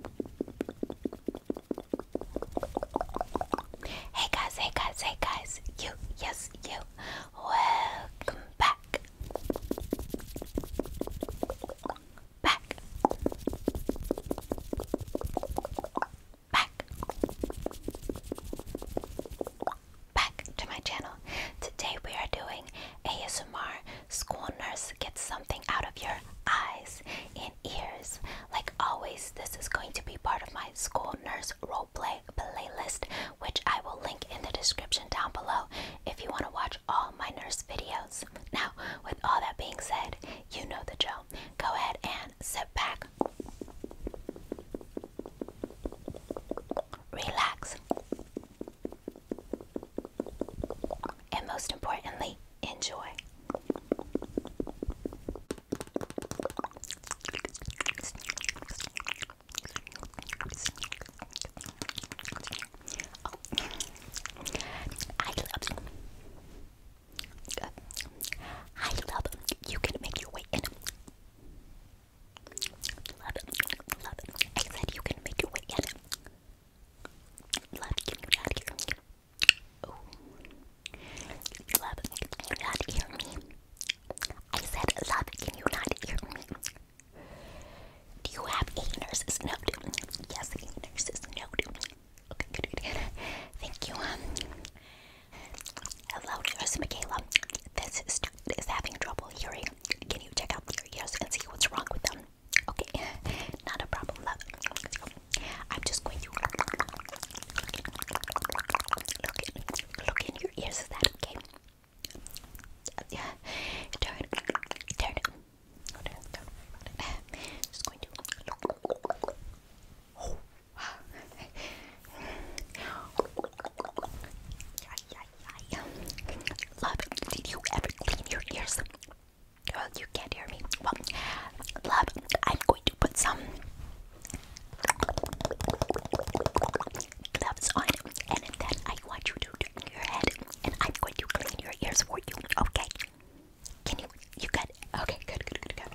Hey guys, hey guys, hey guys, you, yes, you, welcome back. Back. Back. Back to my channel. Today we are doing ASMR School Nurse Get Something Out of Your Eyes legs and ears. Like always, this is going to be part of my school nurse roleplay playlist, which I will link in the description down below if you want to watch all my nurse videos. Now, with all that being said, you know the drill. Go ahead and sit back, relax, and most importantly, Enjoy. Oh. I love I love you can make your way Love love I said you can make your way Love, Love, can you not hear me? I said, love, can you not hear me? Do you have a nurse's note? Yes, a nurse's note. Okay, good, good, good. Thank you. Um, hello, nurse Michaela. This is, is having trouble hearing. Can you check out their ears and see what's wrong with them? Okay, not a problem, love. I'm just going to look in, your ears. Is that okay? Yeah. Turn, turn. Just going to. Oh. yeah, yeah, yeah. Love, did you ever clean your ears? Well, you can't hear me. Well, love, I'm going to put some gloves on, and then I want you to turn your head, and I'm going to clean your ears for you. Okay? Can you? You good? Okay, good, good, good, good.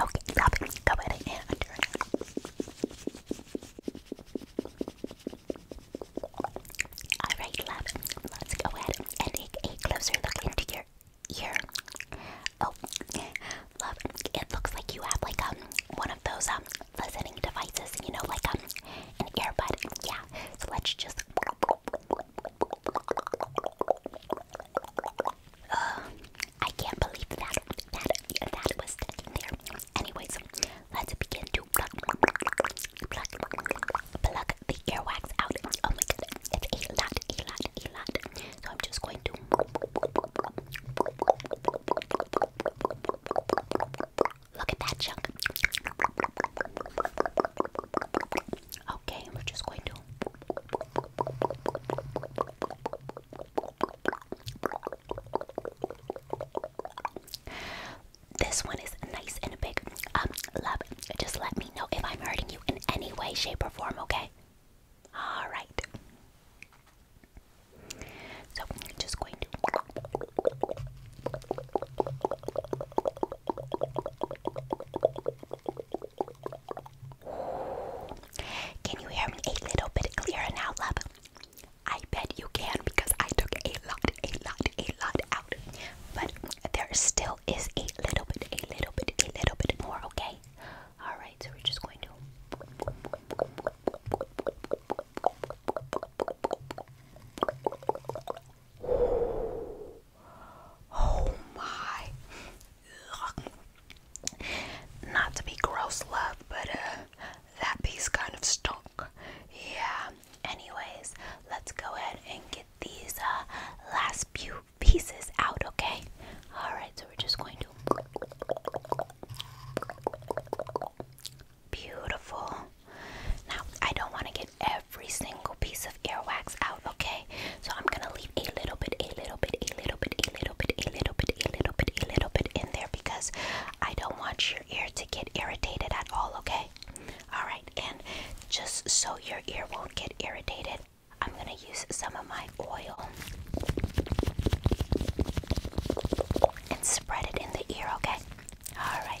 Okay, stop it. Go ahead and undo it. Alright, love, let's go ahead and take a closer look into your ear. Oh, love, it looks like you have like um one of those um listening devices, you know, like um an earbud. Yeah, so let's just. Uh, I can't believe that that that was sticking there. Anyways, Let's begin to plug, pluck, pluck the earwax out. Oh my goodness, it's a lot, a lot, a lot. So I'm just going to. Look at that chunk. Okay, we're just going to this one is nice and big. Um, love, just let me know if I'm hurting you in any way, shape, or form, okay? Alright. So, just going to. Can you hear me a little bit clearer now, love? I bet you can because I took a lot, a lot, a lot but there still is a little bit, a little bit, a little bit more, okay? Alright, so we're just going to. Oh my. Not to be gross, love, but uh, that piece kind of stunk. Yeah, anyways let's go ahead and get these uh, last few pieces out okay all right so we're just going to beautiful now i don't want to get every single piece of earwax out okay so i'm gonna leave a little bit a little bit a little bit a little bit a little bit a little bit a little bit in there because i don't want your ear to get irritated at all okay all right, and just so your ear won't get irritated, I'm going to use some of my oil and spread it in the ear, okay? All right,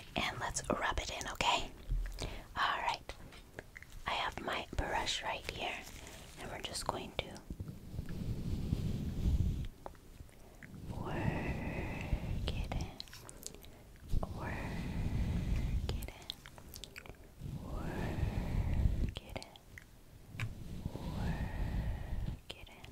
and let's rub it in, okay? Alright, I have my brush right here, and we're just going to work it in, work it in, work it in, work it in.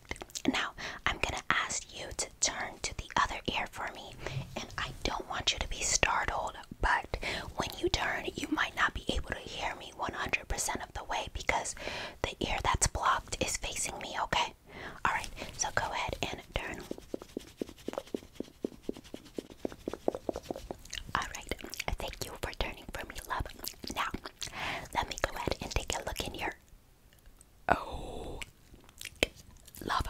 Now, I'm going to ask you to turn to the other ear for me. And I don't want you to be startled, but when you turn, you might not be able to hear me 100% of the way because the ear that's blocked is facing me, okay? Alright, so go ahead and turn. Alright, thank you for turning for me, love. Now, let me go ahead and take a look in here. Oh, love.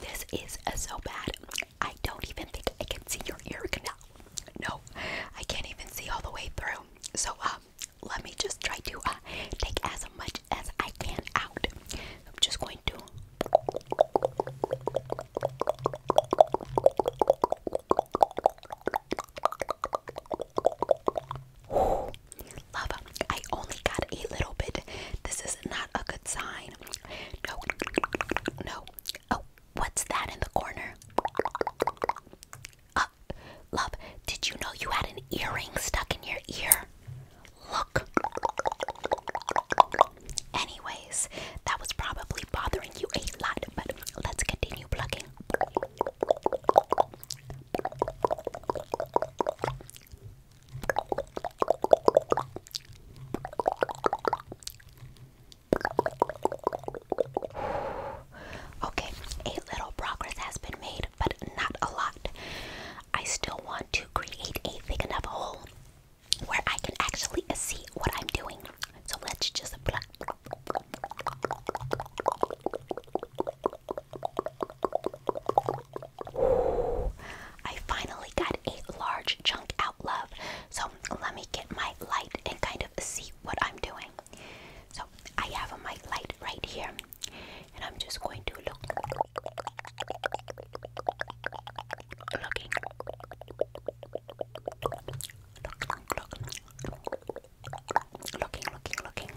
This is so bad. I don't even think I can see your ear canal. No, I can't even see all the way through. So, um, let me just try to uh, take as much as I can out. I'm just going to. Ooh, love, I only got a little bit. This is not a good sign. No, no. Oh, what's that in the corner? Uh, love, did you know you had an earring stuck in your ear? Look. Anyways, that was probably bothering you a lot, but let's continue plugging. Okay, a little progress has been made, but not a lot. I still want to create a big enough hole where I can actually see what I'm doing. So let's just pluck, I finally got a large chunk out, love. So let me get my light and kind of see what I'm doing. So I have my light right here, and I'm just going to look. Looking. Looking, looking, looking.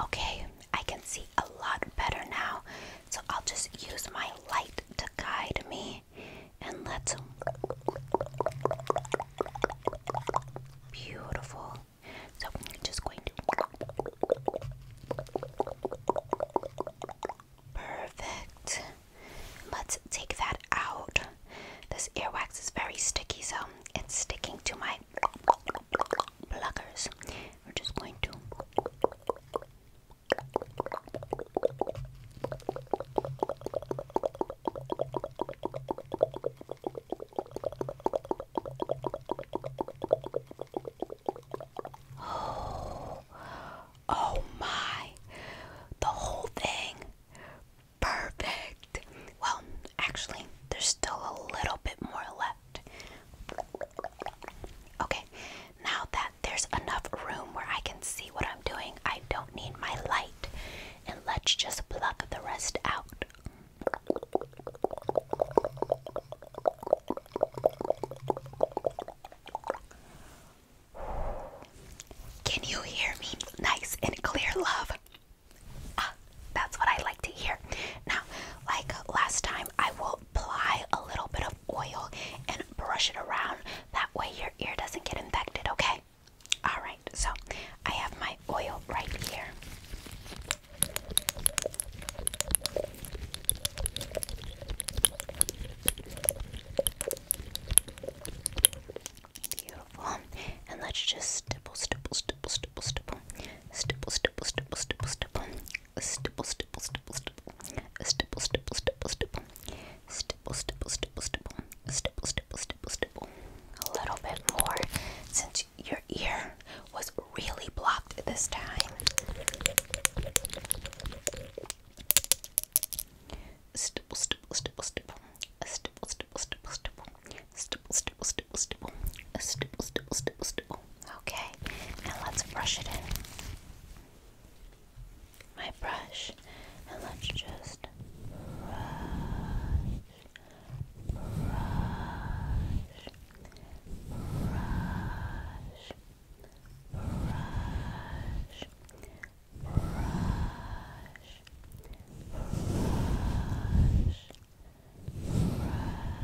Okay, I can see a lot better now. So I'll just use my light to guide me. And let's. Beautiful. So I'm just going to. Perfect. Let's take that out. This earwax is very sticky, so it's sticking to my Blockers. We're just going to Oh, oh my. The whole thing. Perfect. Well, Actually, there's still a little bit more left. Okay, now that there's enough room where I can see what I'm doing, I don't need my light. And let's just pluck the rest out. Can you hear me nice and clear, love? Ah, that's what I like to hear. Now, like last time, I will apply a little bit of oil and brush it around. That way, your ear doesn't get infected, okay? Alright, so I have my oil right here. Beautiful. And let's just stipple, stipple, stipple, stipple, stipple, stipple, stipple, stipple, stipple, stipple, stipple, stipple, stipple, stipple, stipple, stipple, stipple, stipple, stipple, stipple, stipple, stipple, stipple, stipple, stipple, stipple. A little bit more since your ear was really blocked this time. Stipple, stipple, stipple, stipple, stipple, stipple, stipple, stipple, stipple, stipple, stipple, stipple, stipple, stipple, stipple, stipple. Okay, now let's brush it in. My brush, and let's just brush, brush, brush, brush, brush, brush brush.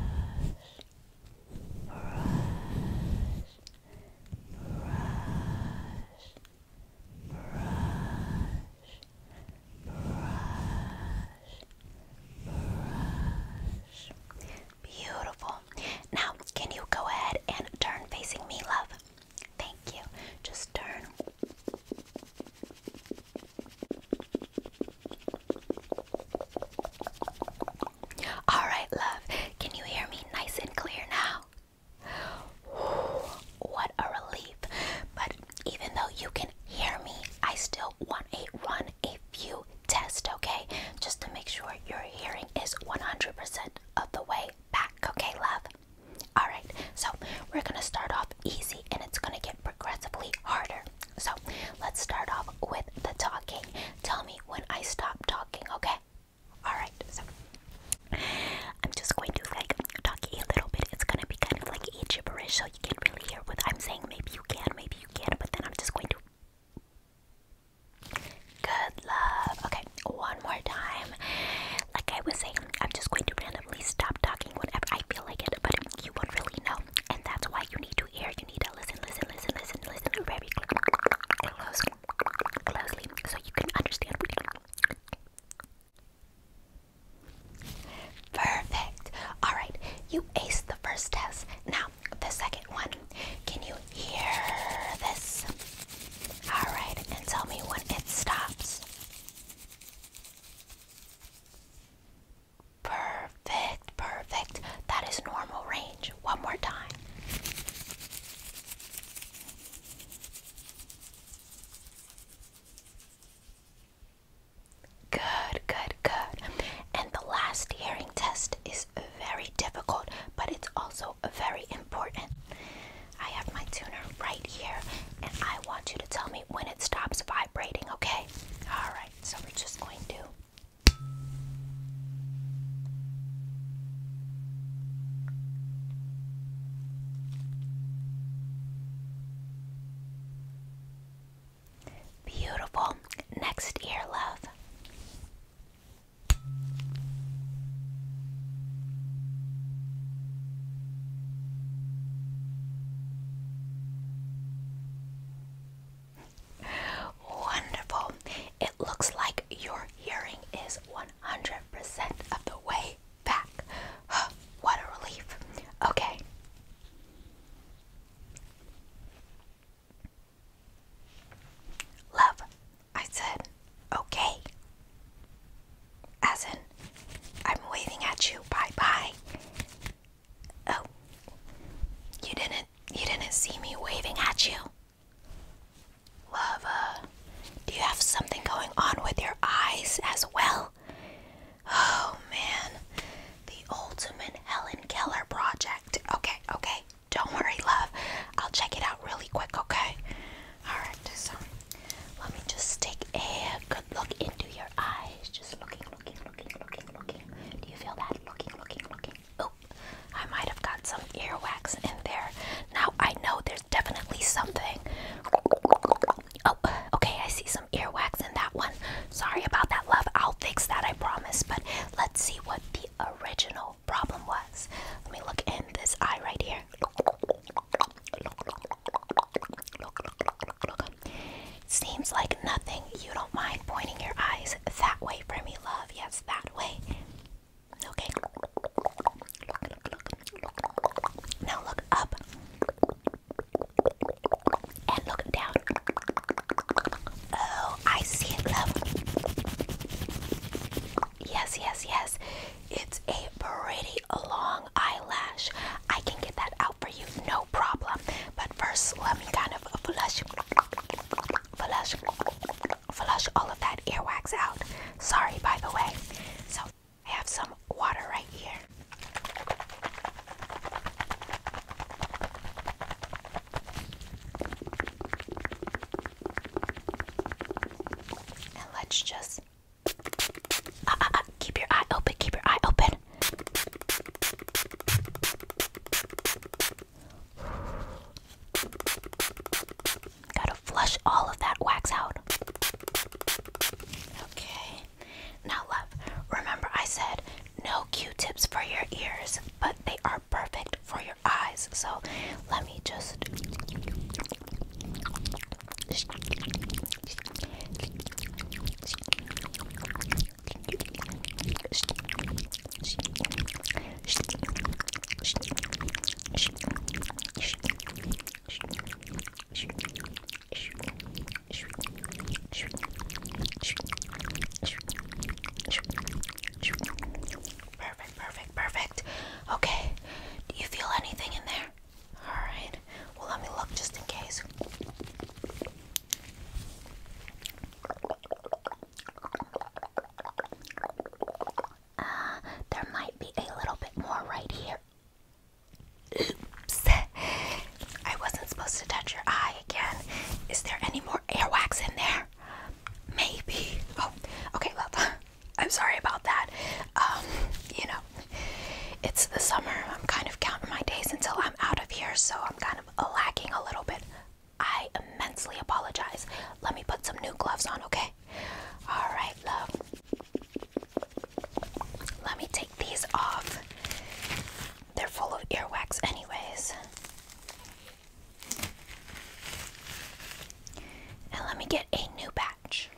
Beautiful. Now, can you go ahead and turn facing me, love? Thank you. Just turn. All right, love. Can you hear me nice and clear now? what a relief. But even though you can hear me, I still want a run a few test, okay? Just to make sure your hearing is 100% of the way back, okay, love? All right. So, we're going to start off easy and it's going to get progressively harder. So let's start off with the talking. Tell me when I stop talking, okay? Alright, so I'm just going to like talk a little bit. It's gonna be kind of like gibberish, so you can't really hear what I'm saying. Maybe you can, maybe you can, but then I'm just going to. Good love. Okay, one more time. Like I was saying, I'm just going to randomly stop talking whenever I feel like it, but you won't really know, and that's why you need to ear, you need to listen, listen, listen, listen, listen very close, closely so you can understand. Perfect. All right, you ace the first test. Now, the second one. Can you hear this? All right, and tell me when it stops. Perfect, perfect. That is normal range. One more time. Good, good, good. And the last hearing test is very difficult, but it's also very important. I have my tuner right here, and I want you to tell me when it stops vibrating, okay? All right so we're just going to. Beautiful. Next ear, love. Wonderful. It looks like your hearing is 100% of the way back. what a relief. Okay. Love, I said, okay. As in, I'm waving at you, bye bye. Oh. You didn't you didn't see me waving at you. Lava. Do you have something going on with your eyes as well? Oh man. The ultimate Helen Keller project. Okay, okay. Don't worry, love. I'll check it out really quick, okay? Alright, so let me just take a good look into your eyes eyes, just looking, looking, looking, looking, looking. Do you feel that? Looking, looking, looking. Oh, I might have got some earwax in there. Now I know there's definitely something. Oh, okay, I see some earwax in that one. Sorry about that, love. I'll fix that, I promise. But let's see what the original problem was. Let me look in this eye right here. Look, look, look, look, look, look, look, look, look. Seems like nothing. You don't mind pointing your eyes that way for me, love. Yes, that way. Okay. Now look up and look down. Oh, I see it, love. Yes, yes, yes. It's a pretty long eyelash. I can get that out for you, no problem. But first, let me kind of flush, flush, flush all of that earwax out. Sorry, by the way. So I have some water right here. And let's just uh, uh, uh, keep your eye open, keep your eye open. Gotta flush all of that wax out. Okay. Now, love, remember I said no q tips for your ears, but they are perfect for your eyes. So let me just. Perfect, perfect, perfect. Okay. Do you feel anything in there? Alright. Well, let me look just in case. Ah, there might be a little bit more right here. Oops. I wasn't supposed to touch your eye again. Is there any more airwax in there? Maybe. Oh, okay, well, I'm sorry about that. Um, you know, it's the summer. I'm kind of counting my days until I'm out of here, so I'm kind of of lagging a little bit. I immensely apologize. Let me put some new gloves on, okay? All right, love. Let me take these off. They're full of earwax, anyways. And let me get a new batch.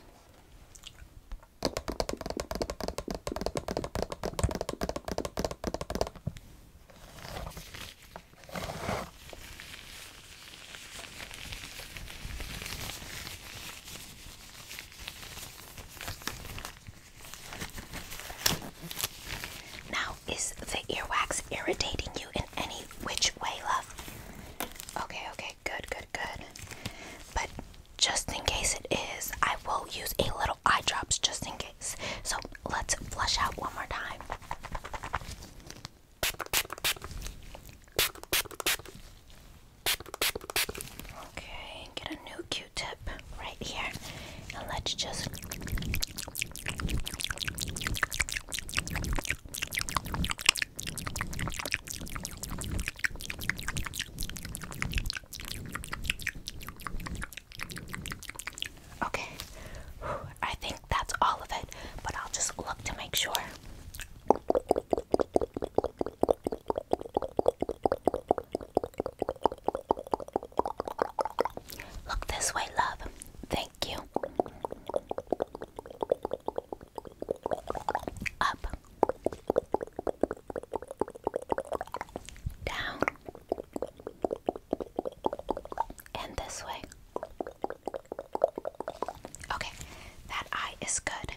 Now, is the earwax irritating you in any which way, love? Okay, okay, good, good, good. But just in case it is, I will use a little eyedrops just in case. So let's flush out one more time. Okay, get a new q tip right here, and let's just. Okay, I think that's all of it, but I'll just look to make sure. Look this way, love. Thank you. Up. Down. And this way. Okay, that eye is good.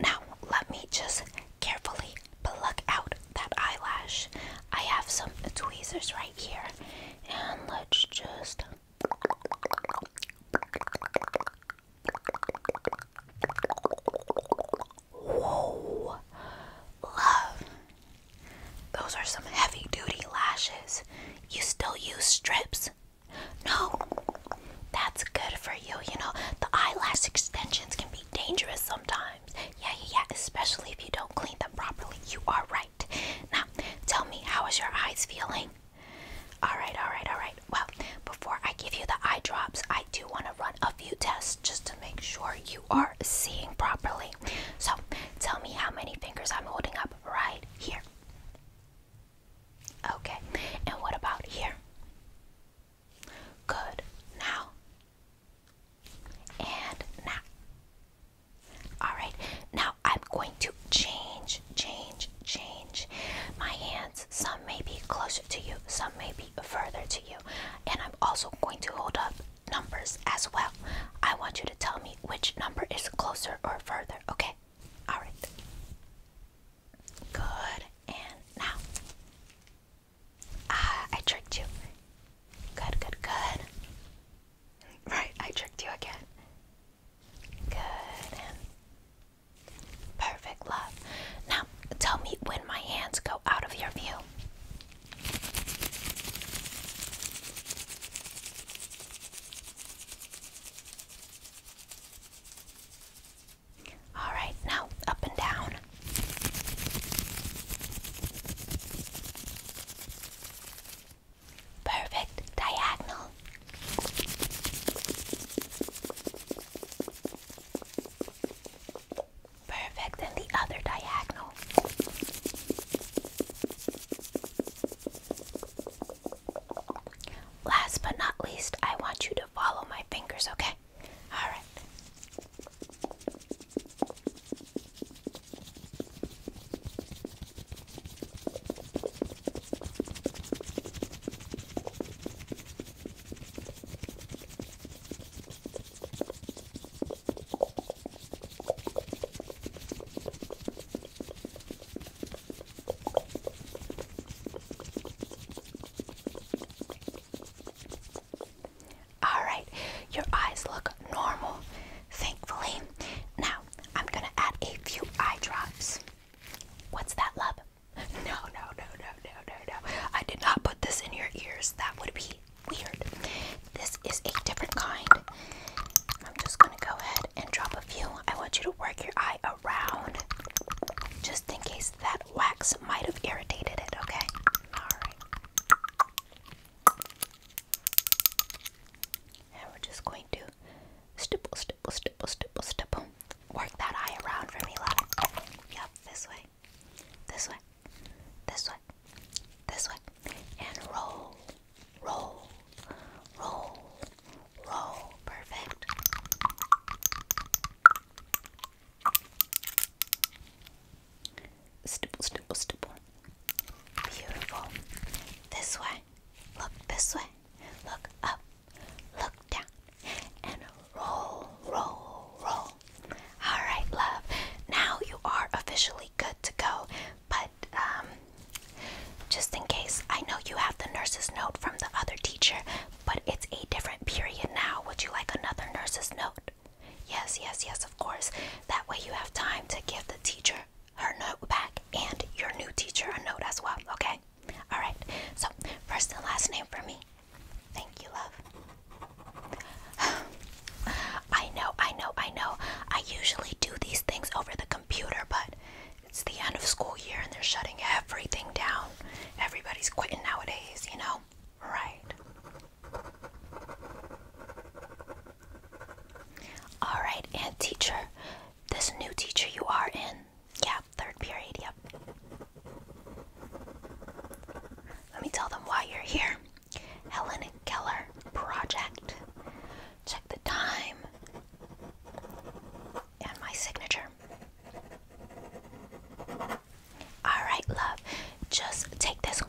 Now, let me just carefully pluck out that eyelash. I have some tweezers right here. And let's just. Whoa, love. Those are some heavy duty lashes. You still use strips? No, that's good for you. You know, the eyelash extensions can be dangerous sometimes. Yeah, yeah, yeah, especially if you don't clean them properly. You are right. Now, tell me, how is your eyes feeling? Alright, alright, alright. Well, before I give you the eye drops, I do want to run a few tests just to make sure you are seeing properly so tell me how many fingers I'm holding up right here. Okay, and what about here? Good. Now and now. Alright, now I'm going to change, change, change my hands. Some may be closer to you, some may be further to you. And I'm also going to hold up numbers as well. I want you to tell me which number is closer or further, okay? Alright. Good. And now. Ah, I tricked you. Good, good, good. Right, I tricked you again. Good and perfect love. Now tell me when my hands go out of your view. All right, now up and down. Perfect diagonal. Perfect, and the other diagonal. Last but not least, I want you to follow my fingers, okay? All right. Alright, your eyes look normal, thankfully. Now, I'm gonna add a few eye drops. What's that, love? No, no, no, no, no, no, no. I did not put this in your ears. That would be weird. This is a different kind. I'm just gonna go ahead and drop a few. I want you to work your eye around just in case that wax might have irritated it, okay? Alright. And we're just going to stipple, stipple, stipple, stipple, stipple. Work that eye around for me, love. Yep, this way this way, this way, this way, and roll, roll, roll, roll. Perfect. Stipple, stipple, stipple. Beautiful. This way. Look this way. Look up. Look down. And roll, roll, roll. Alright, love. Now you are officially good to go. But um, just in case, I know you have the nurse's note from the other teacher, but it's a different period now. Would you like another nurse's note? Yes, yes, yes, of course. That way you have time to give the teacher her note back and your new teacher a note as well, okay? Alright, so first and last name for me. Thank you, love. I know, I know, I know. I usually do these things over the computer, but it's the end of school year and they're shutting everything down. Everybody's quitting nowadays, you know? Right. Alright, and teacher, this new teacher you are in, yeah, third period, yep. Let me tell them why you're here. Helen Keller Project. Check the time and my signature. Alright, love, just take this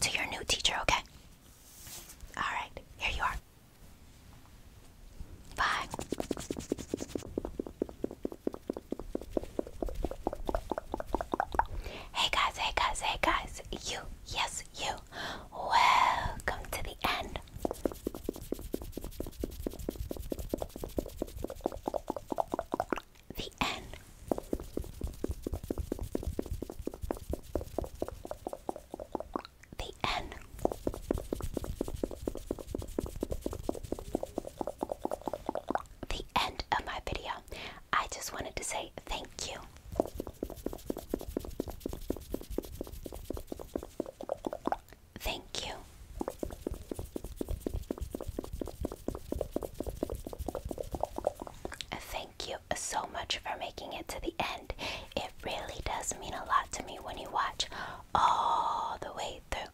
to your new teacher, okay? Alright, here you are. Bye. Hey guys, hey guys, hey guys, you, yes, you, welcome to the end. The end. The end. The end of my video. I just wanted to say thank you. Thank you. Thank you so much for making it to the end. It really does mean a lot to me when you watch all the way through.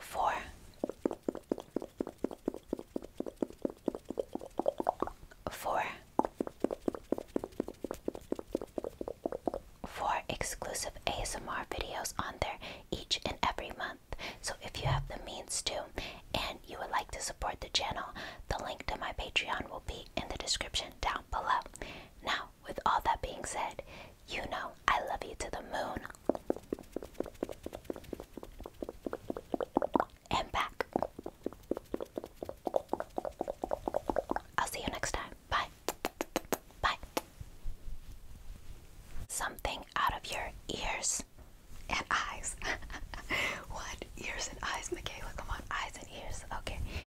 four, four, four exclusive ASMR videos on there each and every month. So if you have the means to and you would like to support the channel, the link to my Patreon will be in the description down below. Now, with all that being said, you know I love you to the moon and back. I'll see you next time. Bye. Bye. Something out of your ears and eyes. what? Ears and eyes, Michaela? Come on, eyes and ears. Okay.